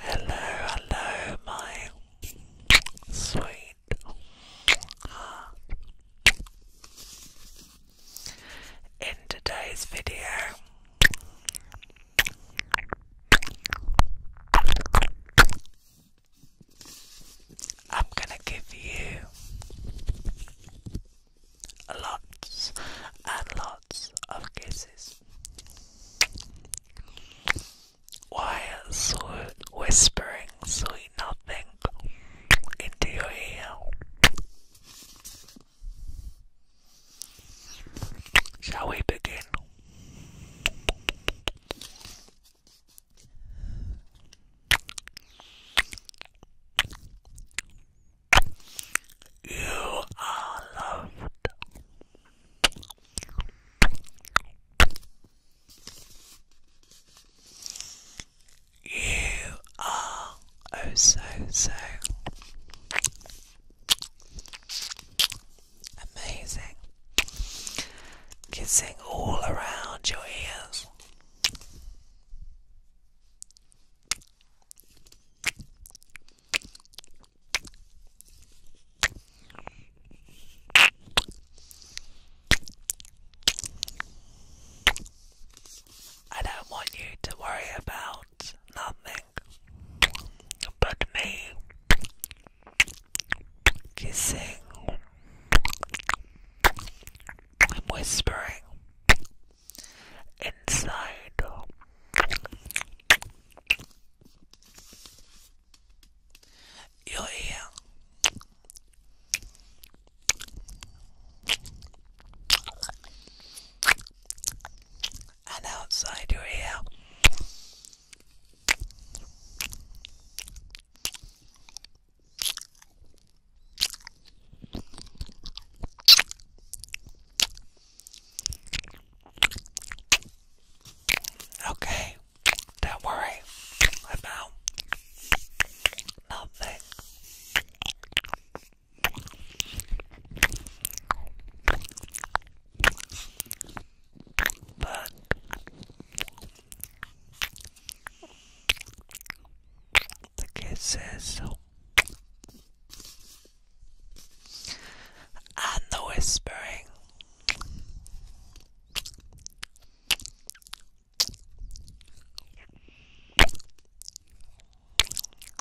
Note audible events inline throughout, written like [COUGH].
Hello, hello, my sweet In today's video, I'm gonna give you lots and lots of kisses. While whispering sweet nothing into your ear. Shall we begin? You are loved. You are oh so so Amazing. Kissing all around your ears. I don't want you to worry about wants nothing but me kissing whispering inside. Your ear and outside your ear. Okay, don't worry about nothing. But the kid says, and the whispering.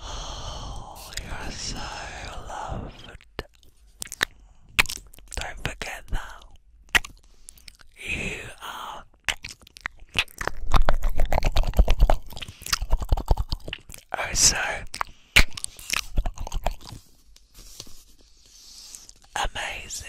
Oh, [SIGHS] you're so loved. Don't forget that. You are oh so amazing.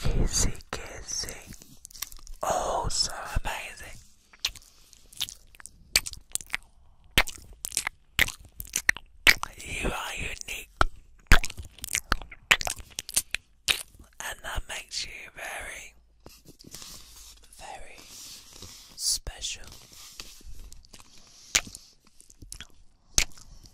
Kissy, kissing, Oh, so amazing. You are unique. And that makes you very, very special.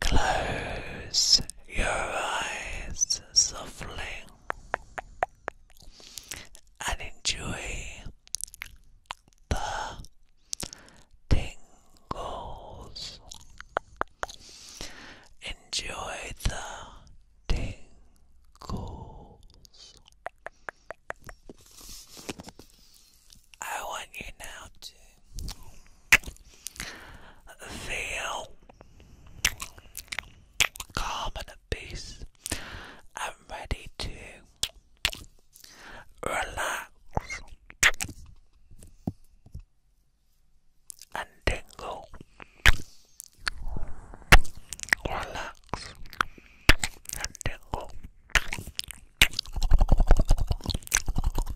Close your eyes softly and enjoy the tingles. Enjoy the tingles. I want you now to Feel calm and at peace and ready to relax and tingle. Relax and tingle.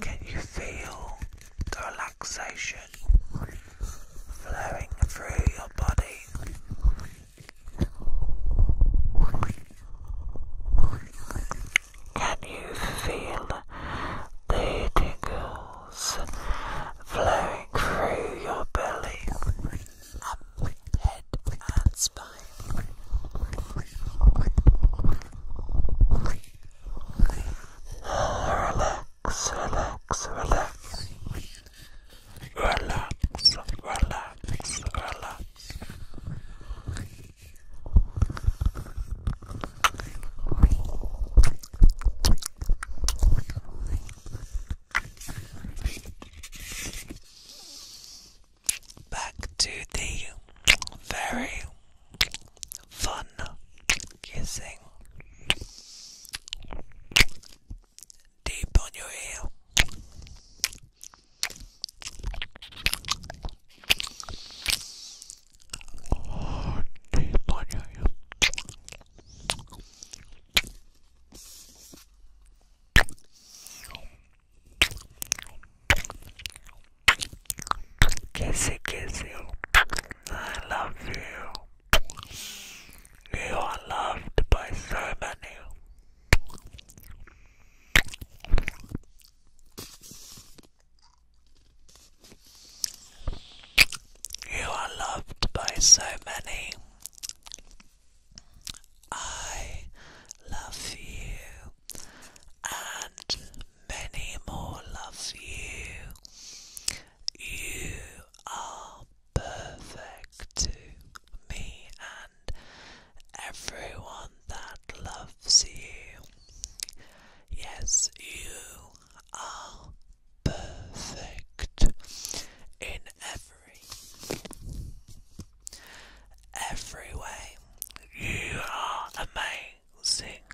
Can you feel relaxation flowing through your body? Can you feel the tingles flowing through your belly, up, head, and spine? Relax, relax, relax. Relax, relax, relax. Back to the very fun kissing deep on your ear. Oh, dear, Lord, Kissy, kissy. Oh, I love you. You are loved by so many. You are loved by so many. I love you, and many more love you. You are perfect to me everyone that loves you. Yes, you are perfect in every every way. You are amazing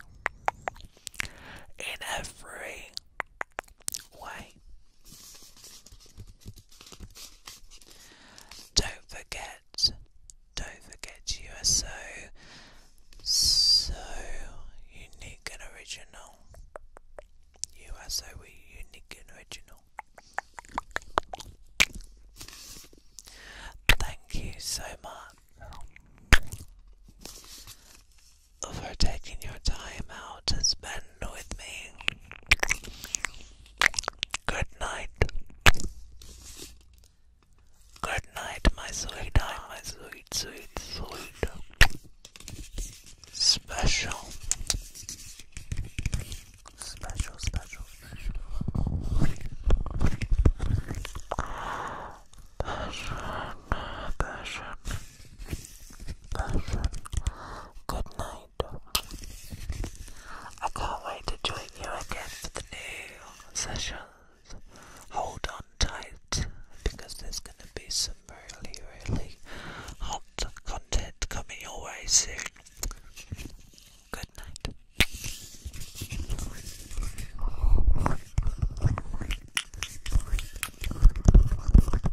in every way don't forget, don't forget you are so, so unique and original. You are so unique and original. Thank you so much for taking your time out to spend with me. Good night. Good night, my sweet, night, my sweet, sweet, sweet. Special. Special, special, special. Passion. Passion. Good night. I can't wait to join you again for the new sessions. Hold on tight because there's going to be some really, really hot content coming your way soon. Good night.